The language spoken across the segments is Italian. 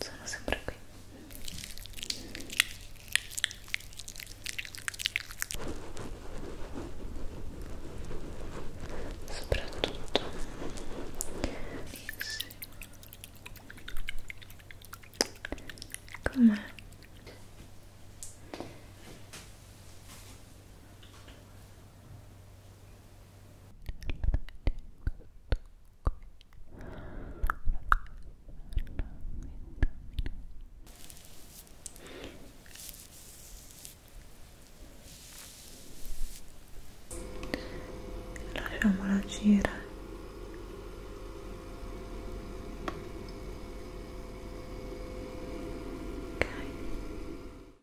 sono sempre qui soprattutto sì. com'è? lasciamola agire ok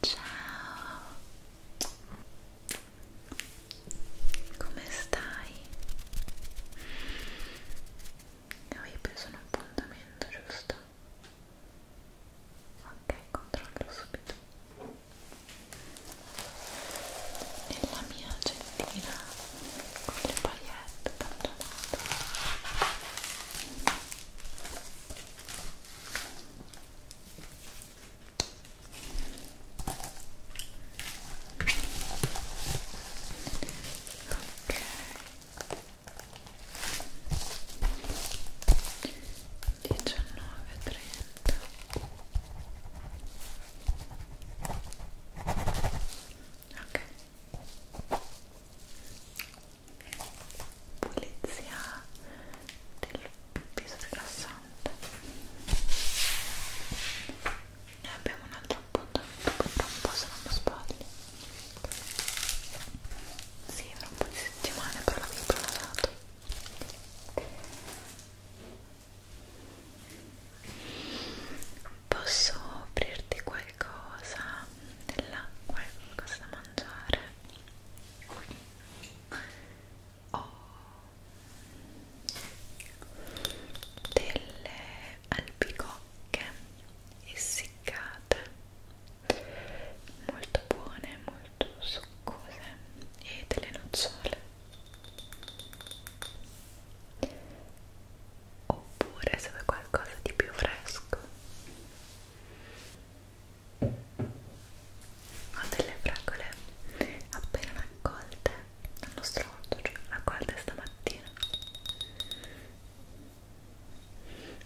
Ciao, come stai? Avevi preso un appuntamento, giusto? Ok, controllo subito. Nella mia gentina con le pagliette abbandonate diciannove trenta ok pulizia del viso rilassante e abbiamo un altro appuntamento tra un po' se non mi sbaglio sì, tra un po' di settimane però l'avevo prenotato Posso offrirti qualcosa dell'acqua, qualcosa da mangiare? ho delle albicocche essiccate molto buone, molto succose e delle nocciole oppure se vuoi qualcosa di più fresco ho delle fragole appena raccolte dal nostro orto, cioè raccolte stamattina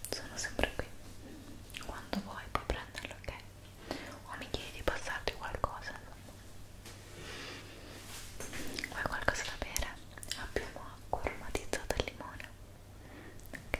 sono sempre qui quando vuoi puoi prenderlo, ok? o mi chiedi di passarti qualcosa vuoi qualcosa da bere? abbiamo acqua aromatizzata al limone ok?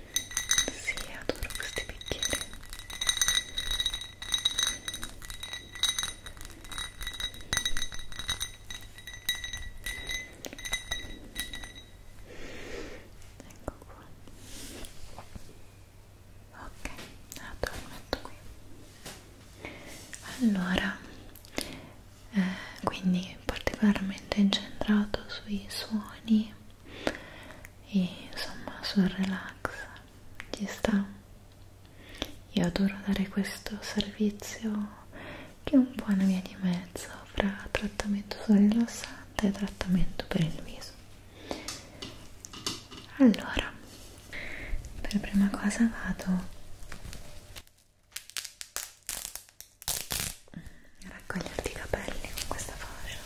Sì, adoro questi bicchieri. Ecco qua. Ok, allora lo metto qui. Allora, eh, quindi particolarmente incentrato sui suoni e insomma sul relax ci sta io adoro dare questo servizio che è un po' una via di mezzo fra trattamento sul rilassante e trattamento per il viso allora per prima cosa vado raccoglierti i capelli con questa fascia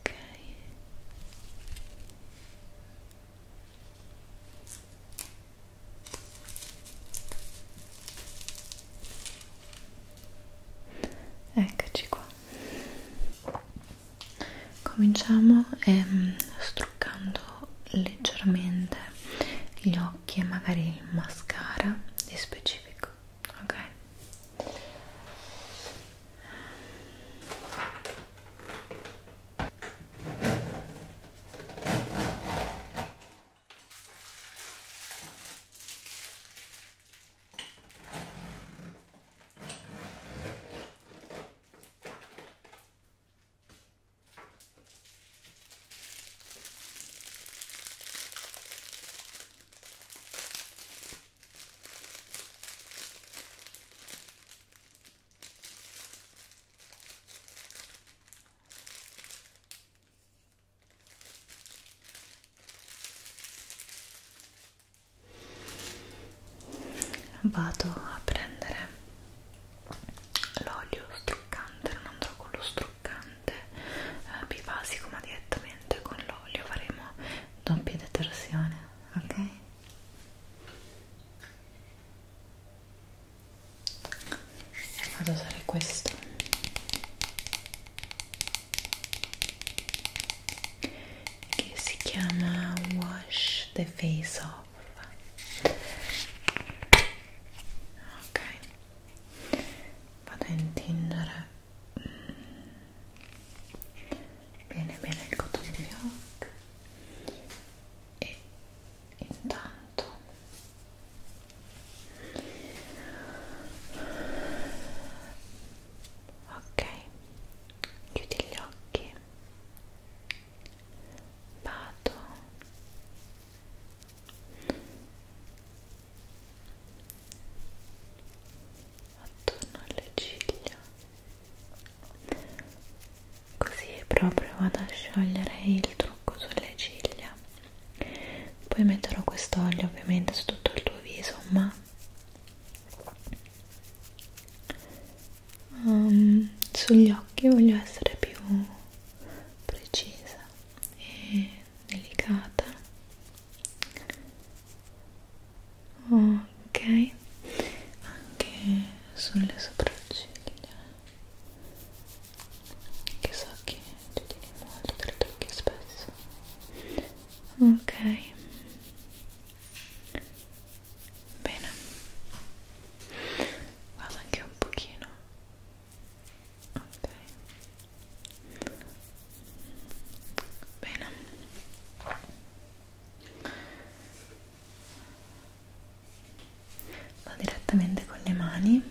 ok eccoci qua cominciamo ehm, struccando leggermente gli occhi occhi e magari il mascara di specifico ok vado a prendere l'olio struccante non andrò con lo struccante eh, bifasico ma direttamente con l'olio faremo doppia detersione ok e vado a usare questo che si chiama wash the face off ok vado a intingere mm. bene bene il cotone bianco e intanto ok chiudi gli occhi vado attorno alle ciglia così proprio vado a sciogliere il trucco sulle ciglia poi metterò questo olio ovviamente su tutto il tuo viso ma um, sugli occhi voglio essere più precisa e delicata ok anche sulle sopracciglia che so che ti tieni molto tritocchi spesso ok bene vado anche un pochino ok bene vado direttamente con le mani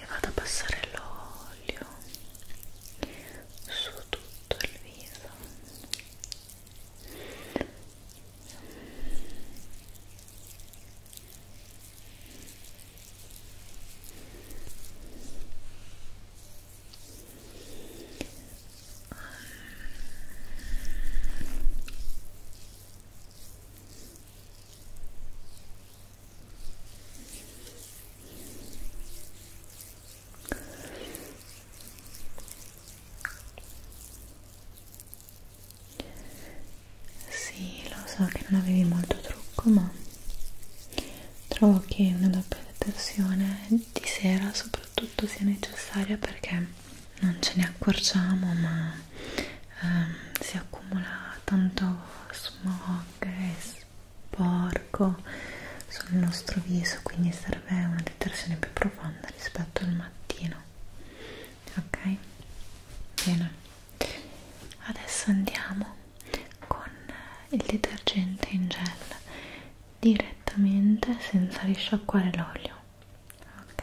e vado a passare l'olio su tutto il viso Ecco sì, lo so che non avevi molto trucco, ma trovo che una doppia detersione di sera soprattutto sia necessaria perché non ce ne accorgiamo, ma ehm, si accumula tanto smog e sporco sul nostro viso quindi serve una detersione più profonda rispetto al mattino ok bene adesso andiamo con il detergente in gel direttamente senza risciacquare l'olio ok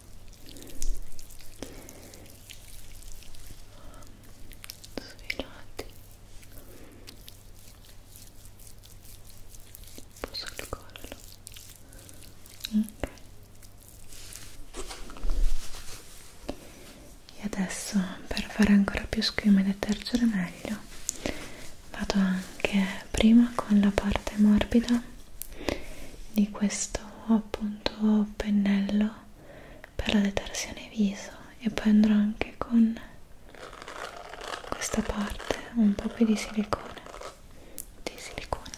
svelati un po' sul collo ok e adesso per fare ancora più schiuma e detergere meglio vado anche prima con la parte morbida di questo appunto pennello per la detersione viso e poi andrò anche con questa parte un po' più di silicone di silicone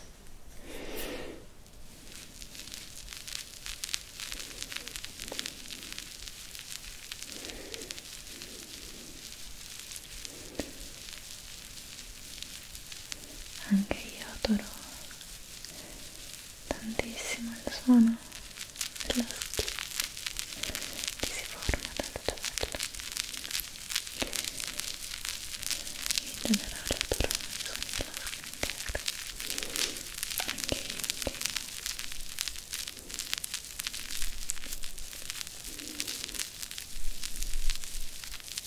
anche io adoro tantissimo il suono della schiena che si forma dal cervello in generale adoro il suono della schiena anche io Ora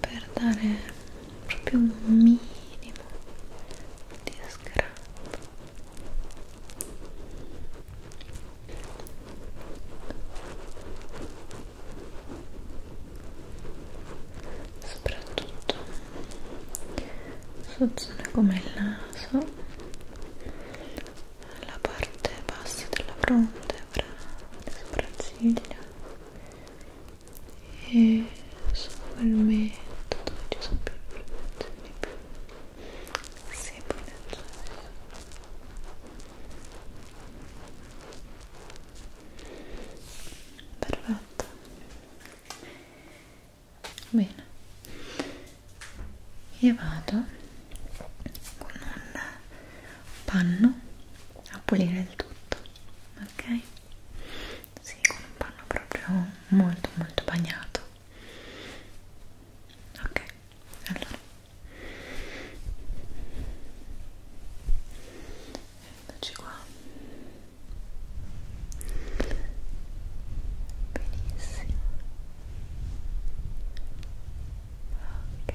per dare proprio un minimo di scrap soprattutto su zone come il naso la parte bassa della fronte fra le sopracciglia e solo il metodo dove ci sono più informazioni più semplici perfetto bene io vado con un panno a pulire il tutto ok? Sì, con un panno proprio molto molto bagnato ok allora eccoci qua benissimo ok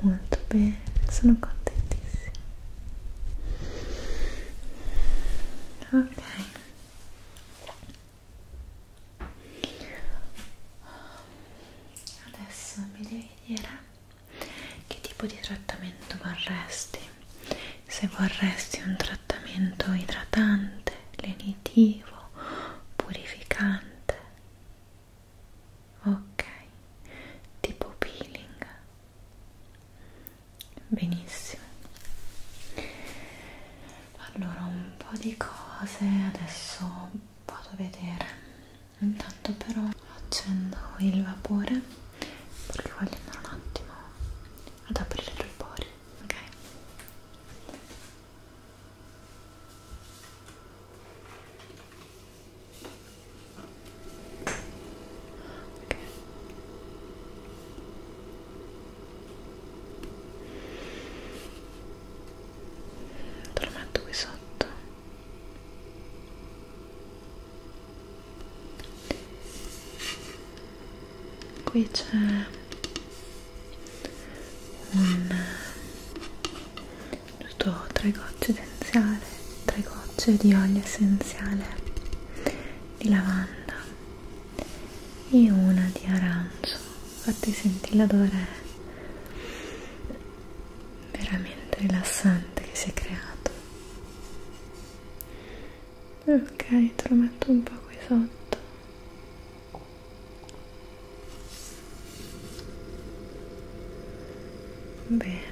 molto bene, sono contentissima ok adesso mi devi dire che tipo di trattamento vorresti se vorresti un trattamento idratante lenitivo purificante ok tipo peeling benissimo allora un po' di cose adesso vado a vedere intanto però accendo il vapore perché voglio andare un attimo ad aprire il pori ok Okay. Te lo metto qui sotto qui c'è un, giusto 3 gocce essenziale 3 gocce di olio essenziale di lavanda e una di arancio fatti sentire l'odore veramente rilassante che si è creato ok te lo metto un po' qui sotto bene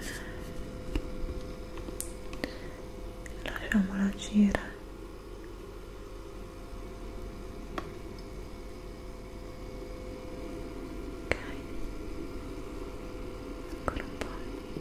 lasciamola girare ok ancora un po' ok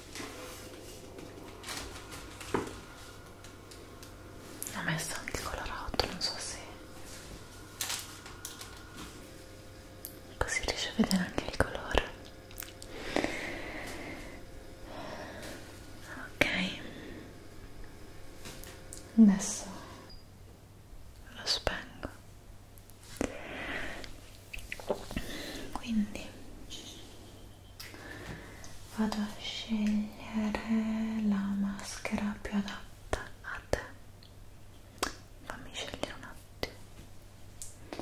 ho messo anche il colorato non so se così riesci a vedere anche il colore ok adesso lo spengo quindi vado a scegliere la maschera più adatta a te fammi scegliere un attimo ok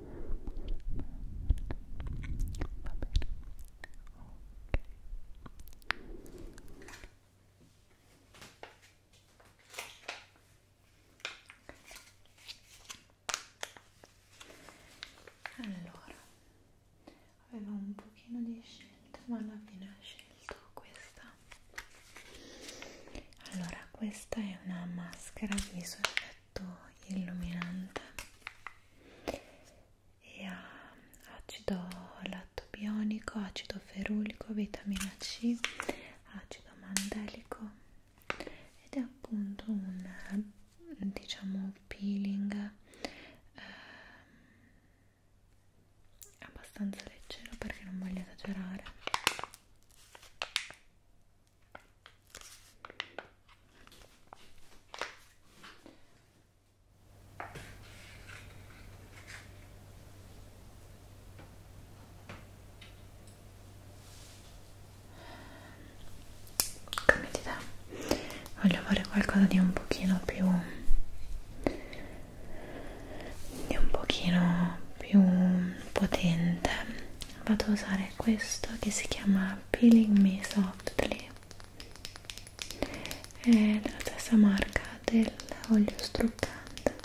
allora avevo un pochino di scelta ma alla fine ho scelto questa allora questa è una maschera di viso molto illuminante e ha acido lattobionico, acido ferulico, vitamina C, acido mandelico ed è appunto un diciamo peeling eh, abbastanza leggero perché non voglio esagerare Cambia idea, voglio fare qualcosa di un pochino più di un pochino più potente vado a usare questo che si chiama peeling me softly è della stessa marca dell'olio struccante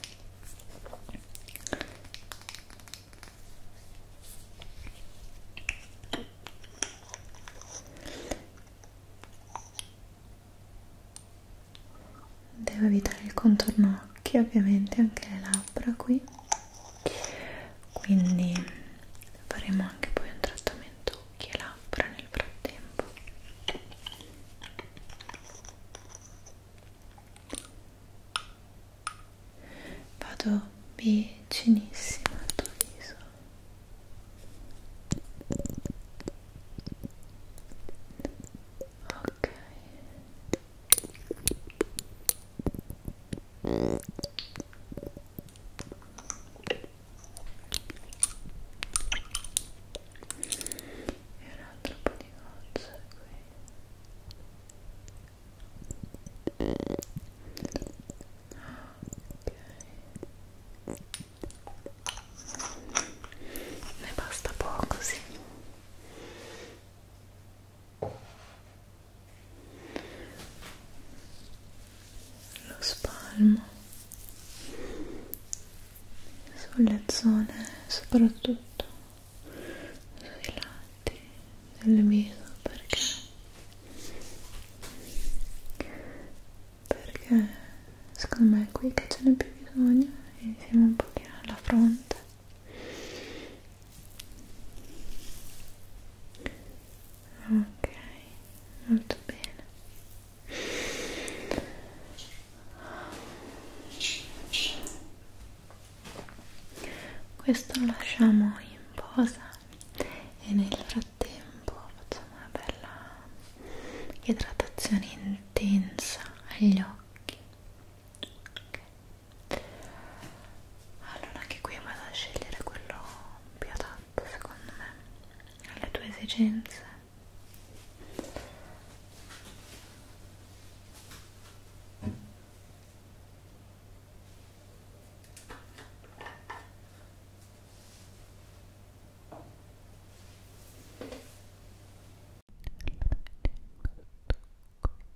devo evitare il contorno occhi ovviamente anche le labbra qui quindi faremo anche poi un trattamento occhi e labbra nel frattempo vado vicinissimo al tuo viso ok e un altro po' di gocce qui ok ne basta poco sì lo spalmo sulle zone soprattutto sui lati del viso perché perché secondo me è qui che ce n'è più bisogno e siamo un pochino alla fronte ok molto bene questo lo lasciamo in posa e nel frattempo facciamo una bella idratazione intensa agli occhi ok allora anche qui vado a scegliere quello più adatto secondo me alle tue esigenze Qui.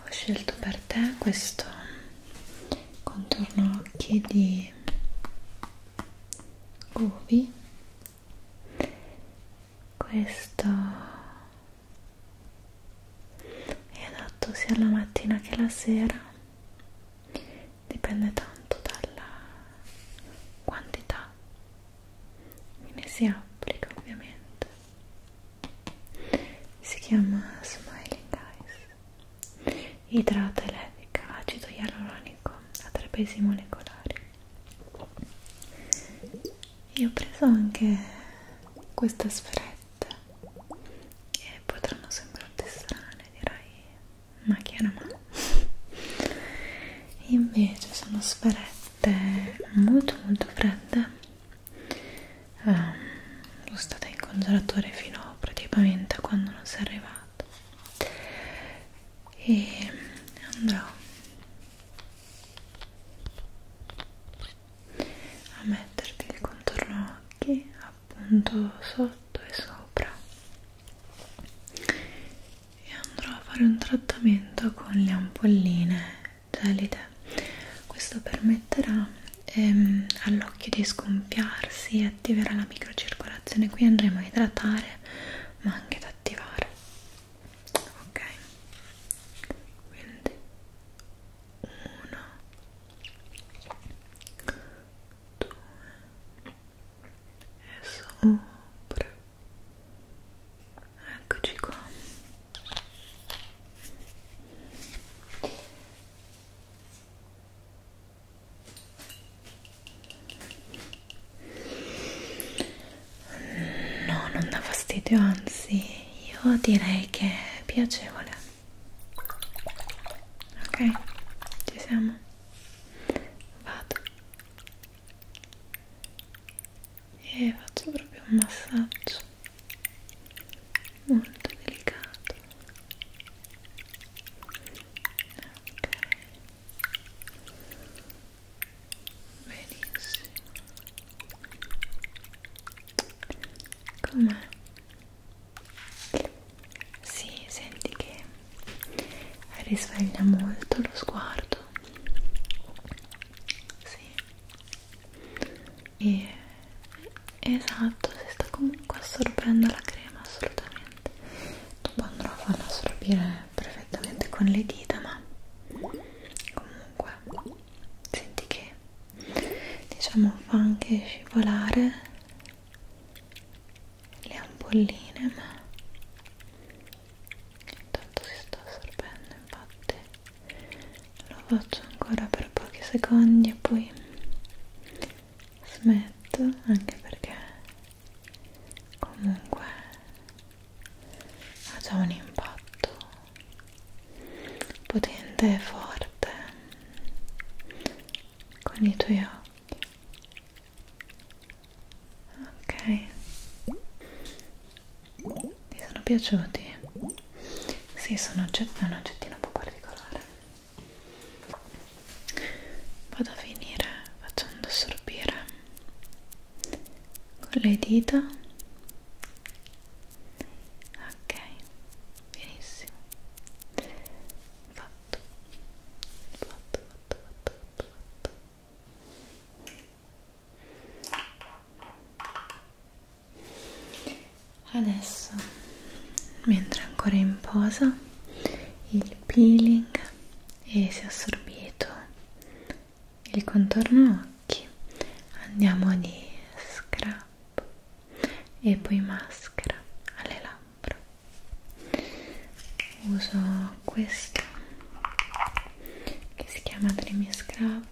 Ho scelto per te questo contorno occhi di Gobi questo è adatto sia la mattina che la sera dipende tanto dalla quantità che ne si applica ovviamente si chiama Smiling Eyes idrata e levica acido ialuronico a trapesimo molecolare e ho preso anche queste sferette che potranno sembrarti strane direi ma chi è una mano invece sono sferette molto molto fredde um, ehm, sono state in congelatore fino praticamente a quando non si è arrivato e andrò a metterti il contorno occhi appunto sotto e sopra e andrò a fare un trattamento con le ampolline gelide questo permetterà ehm, all'occhio di scompiarsi e attiverà la microcircolazione qui andremo a idratare ma anche ad attivare ok quindi uno due e sopra eccoci qua No, non dà fastidio, anzi, io direi che è piacevole. Ok, ci siamo. Vado e faccio proprio un massaggio molto delicato. Ok benissimo com'è? Sì, senti che risveglia molto lo sguardo sì e esatto si sta comunque assorbendo la crema assolutamente dopo andrò a farla assorbire perfettamente con le dita ma comunque senti che diciamo fa anche scivolare le ampolline ma intanto si sta assorbendo infatti lo faccio ancora per pochi secondi e poi smetto anche perché comunque ha già un impatto potente e forte con i tuoi occhi ok ti sono piaciuti? Sì, sono oggetti, un oggettino un po' particolare vado a finire facendo assorbire con le dita ok benissimo fatto fatto fatto fatto fatto, fatto. Adesso, mentre ancora in posa, il peeling e si è assorbito il contorno occhi andiamo di scrub e poi maschera alle labbra uso questo che si chiama Dreamy Scrub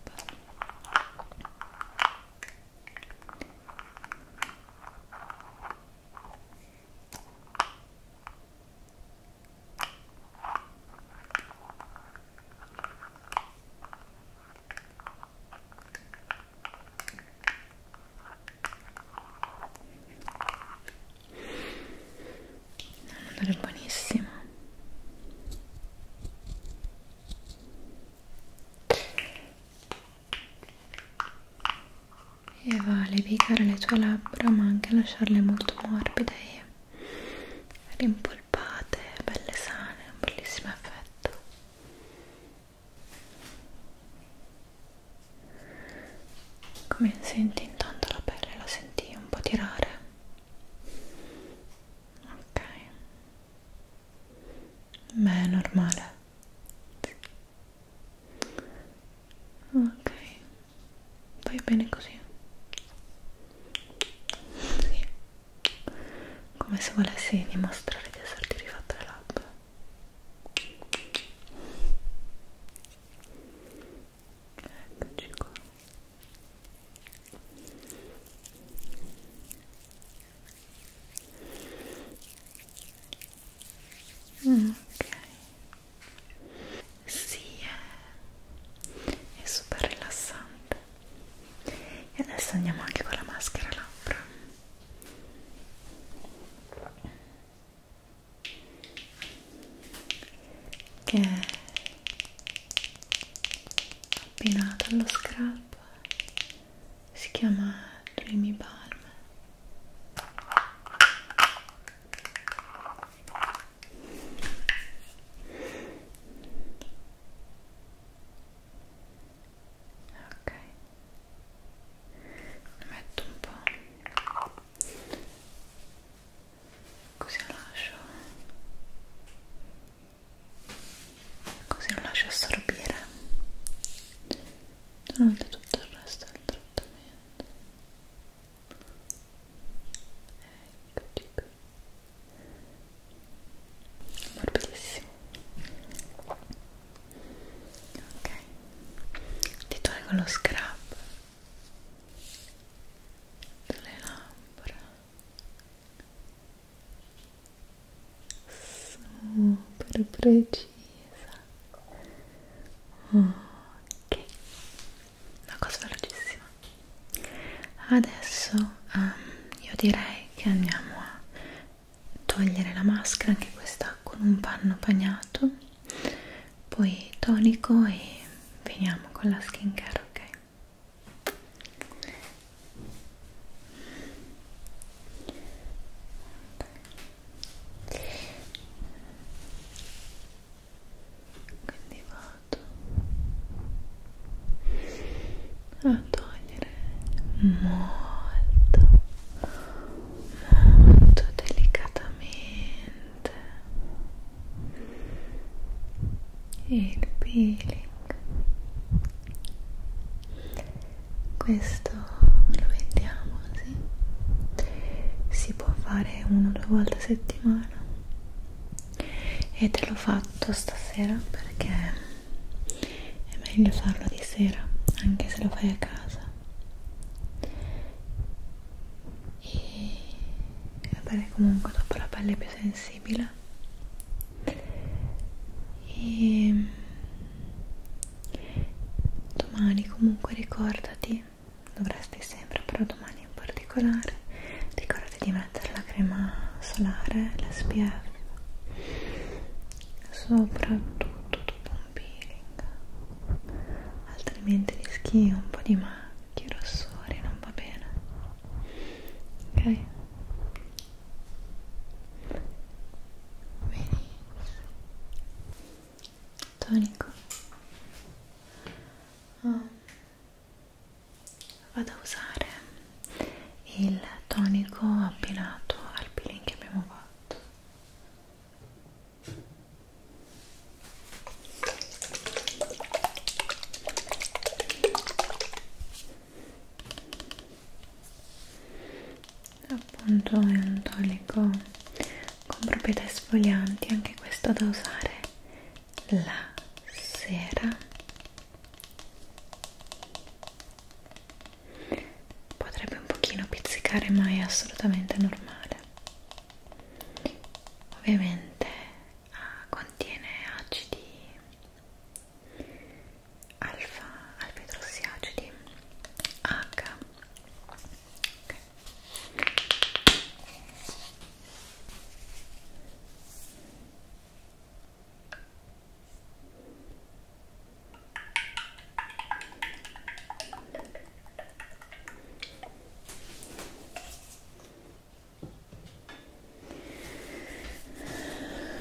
non odore buonissimo. E va a levigare le tue labbra ma anche a lasciarle molto morbide e rimpolpate, belle sane, un bellissimo effetto come senti intanto la pelle? la senti un po' tirare? ok beh, è normale ok vai bene così sì. come se volessi dimostrare di esserti rifatto le labbra eccoci qua mm, ok sì, è, è super rilassante. E adesso andiamo anche con la maschera labbra. Che è abbinata allo scrub. Si chiama Dreamy Balm ok ne metto un po' così lo lascio così lo lascio assorbire durante tutto il resto del trattamento eccoci qui morbidissimo ok ti tolgo lo scrub sulle labbra super precisa ok una cosa velocissima adesso um, io direi che andiamo a togliere la maschera anche questa con un panno bagnato poi tonico e finiamo con la skincare ok quindi vado a togliere molto molto delicatamente il peeling questo lo vendiamo così si può fare una o due volte a settimana e te l'ho fatto stasera perché è meglio farlo di sera anche se lo fai a casa e avere comunque dopo la pelle più sensibile e domani comunque ricordati dovresti sempre, però domani in particolare ricordati di mettere la crema solare, l'SPF soprattutto dopo un peeling altrimenti rischi un po' di macchie, rossori, non va bene ok? benissimo tonico oh vado a usare il tonico abbinato al peeling che abbiamo fatto appunto è un tonico con proprietà esfolianti anche questo da usare la sera potrebbe un pochino pizzicare ma è assolutamente normale ovviamente ah, contiene acidi alfa alfetrossi acidi H okay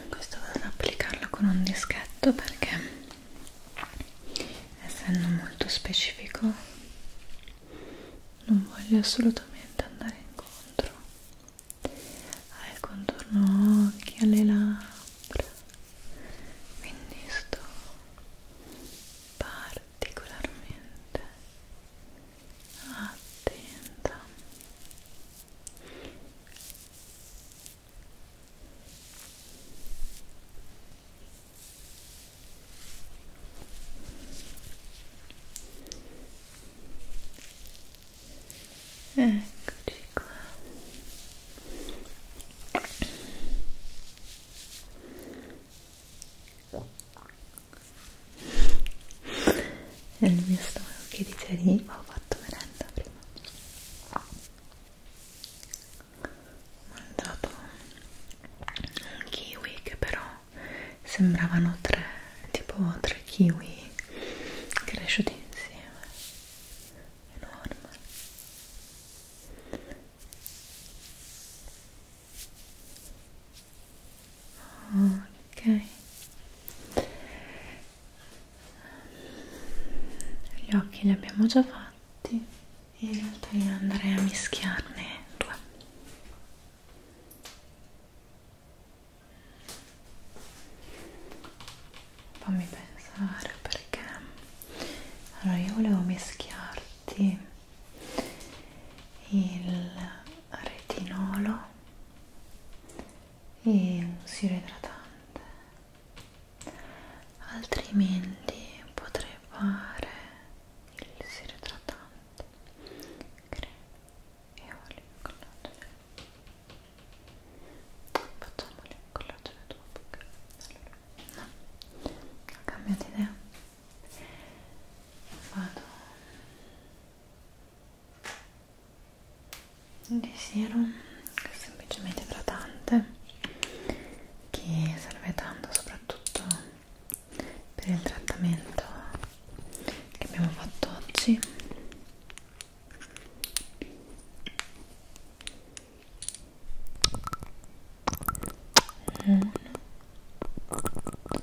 questo vado ad applicarlo con un dischetto perché essendo molto specifico non voglio assolutamente andare incontro al contorno occhi, alle labbra quindi sto particolarmente attenta Eccoci qua. È il mio stomaco che dice lì, ho fatto merenda prima. Ho mangiato un kiwi che però sembravano tre, tipo tre kiwi cresciuti insieme enorme ok gli occhi li abbiamo già fatti e in realtà io andrei a mischiarne due fammi pensare perché allora io volevo mischiarti il retinolo e un siro idratante altrimenti potrei fare il siro idratante colorante crema e olio collagene facciamo il collagene dopo allora, no, ho cambiato idea vado di serum che è semplicemente idratante che serve tanto soprattutto per il trattamento che abbiamo fatto oggi uno,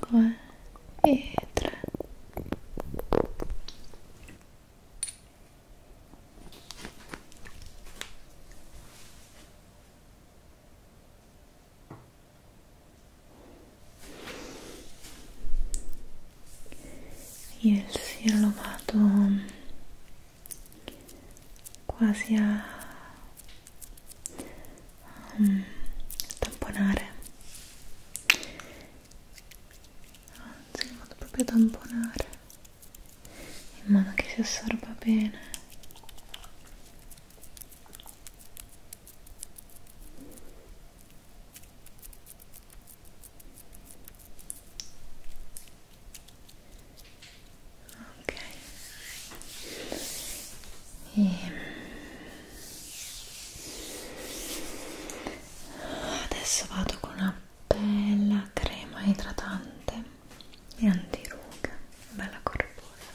due e tre il siero lo vado quasi a um, tamponare anzi lo vado proprio a tamponare in modo che si assorba bene ok e ehm, adesso vado con una bella crema idratante e antiruga bella corposa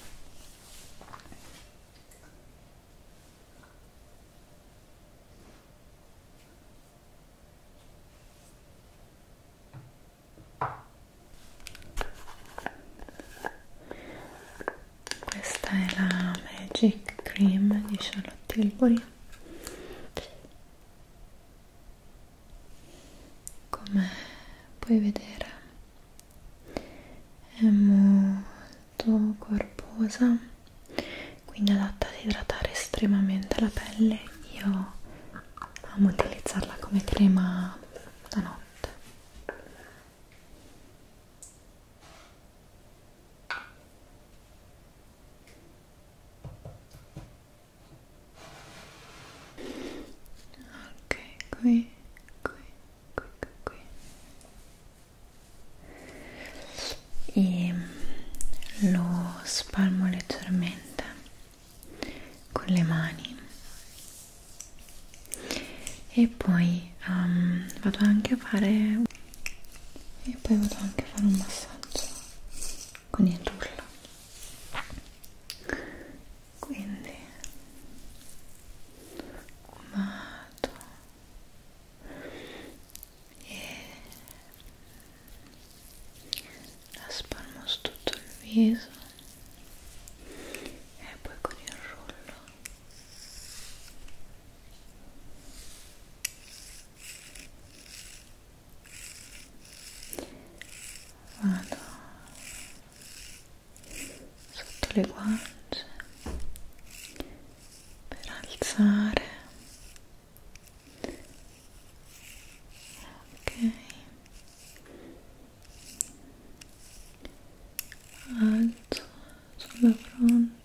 questa è la Magic Cream di Charlotte Tilbury come puoi vedere è molto corposa quindi adatta ad idratare estremamente la pelle io amo utilizzarla come crema la notte ok qui qui qui, qui, qui e lo spalmo leggermente con le mani e poi um, vado anche a fare e poi vado anche a fare un massaggio con il rullo quindi vado e la spalmo su tutto il viso e poi con il rullo vado sotto le guance per alzare ok alzo sulla fronte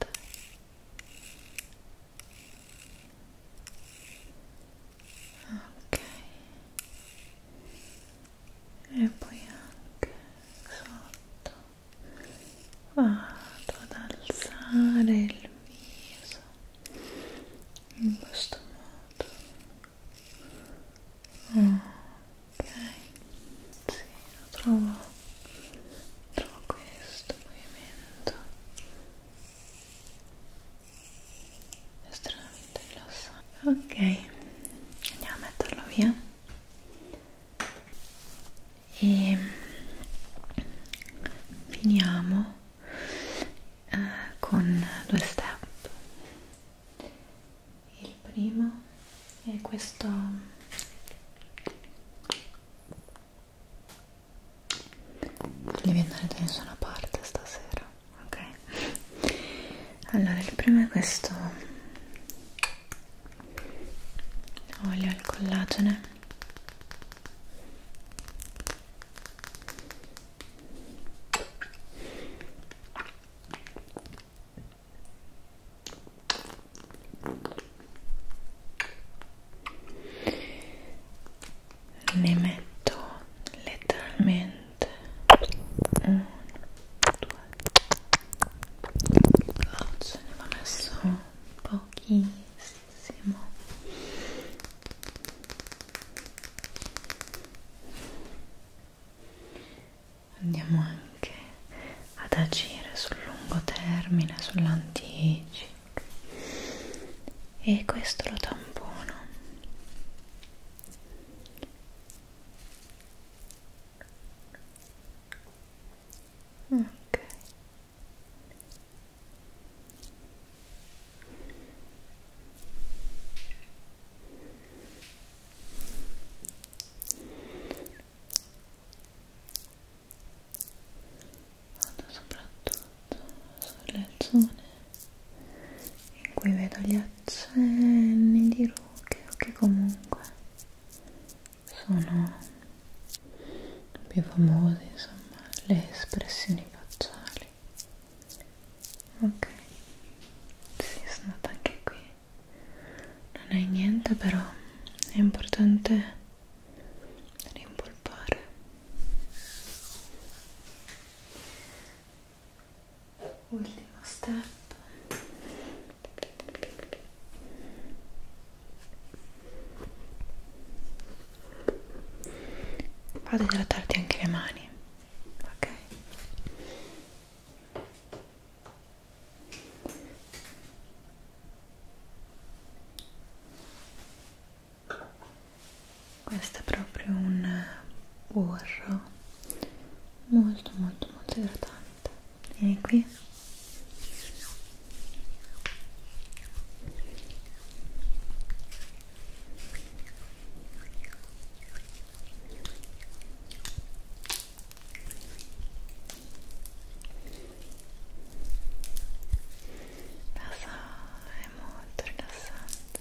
ok e poi anche sotto vado ad alzare il viso in questo modo ok sì, lo trovo trovo questo movimento estremamente ok andiamo a metterlo via e finiamo eh, con due step il primo è questo devi andare da nessuna parte stasera ok? Allora, il primo è questo olio al collagene ne metto letteralmente niente uno, due oggi ne va messo pochissimo andiamo anche ad agire sul lungo termine sull'anti-aging e questo lo tampono ok vado soprattutto sulle zone in cui vedo gli occhi cenni di rughe che comunque sono più famosi insomma le espressioni facciali ok sì, sono andata anche qui non è niente però è importante rimpolpare ultimo step vado a trattarti anche le mani ok questo è proprio un burro molto molto molto idratante vieni qui la sala è molto rilassante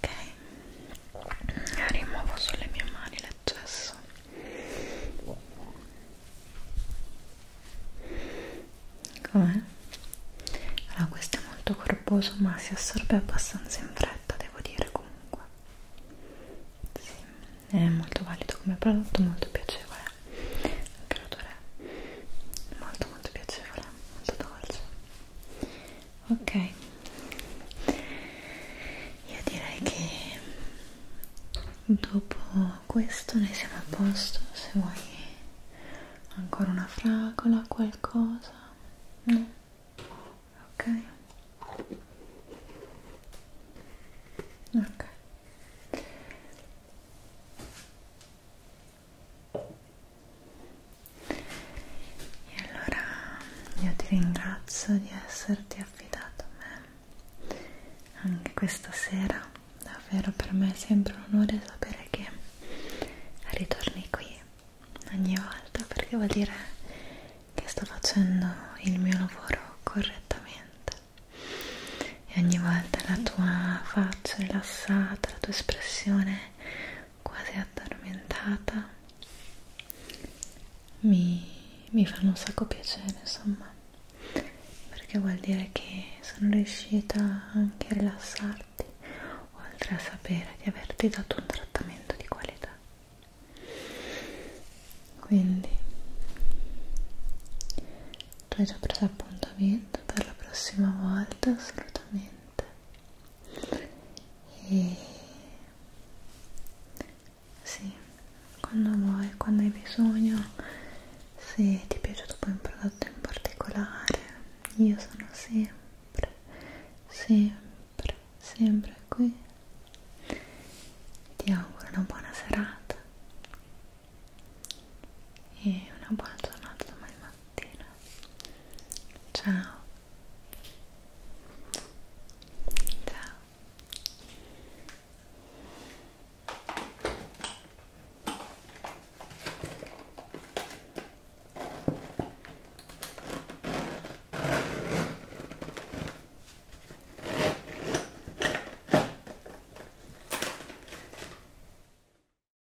ok rimuovo sulle mie mani l'eccesso com'è? allora questo è molto corposo ma si assorbe abbastanza in fretta devo dire comunque sì, è molto valido come prodotto molto piacevole anche l'odore molto molto piacevole molto dolce ok io direi che dopo questo noi siamo a posto se vuoi ancora una fragola qualcosa no ok ok e allora io ti ringrazio di esserti affidato a me anche questa sera. Davvero per me è sempre un onore sapere che ritorni qui ogni volta perché vuol dire che sto facendo il mio lavoro correttamente e ogni volta la tua faccia rilassata, la tua espressione quasi addormentata mi, mi fanno un sacco piacere insomma perché vuol dire che sono riuscita anche a rilassarti oltre a sapere di averti dato un trattamento di qualità quindi tu hai già preso appuntamento per la prossima volta assolutamente niente e sì quando vuoi quando hai bisogno se ti è piaciuto poi un prodotto in particolare io sono sempre sempre sempre qui ti auguro una buona serata e una buona giornata domani mattina mattina. Ciao. Ciao.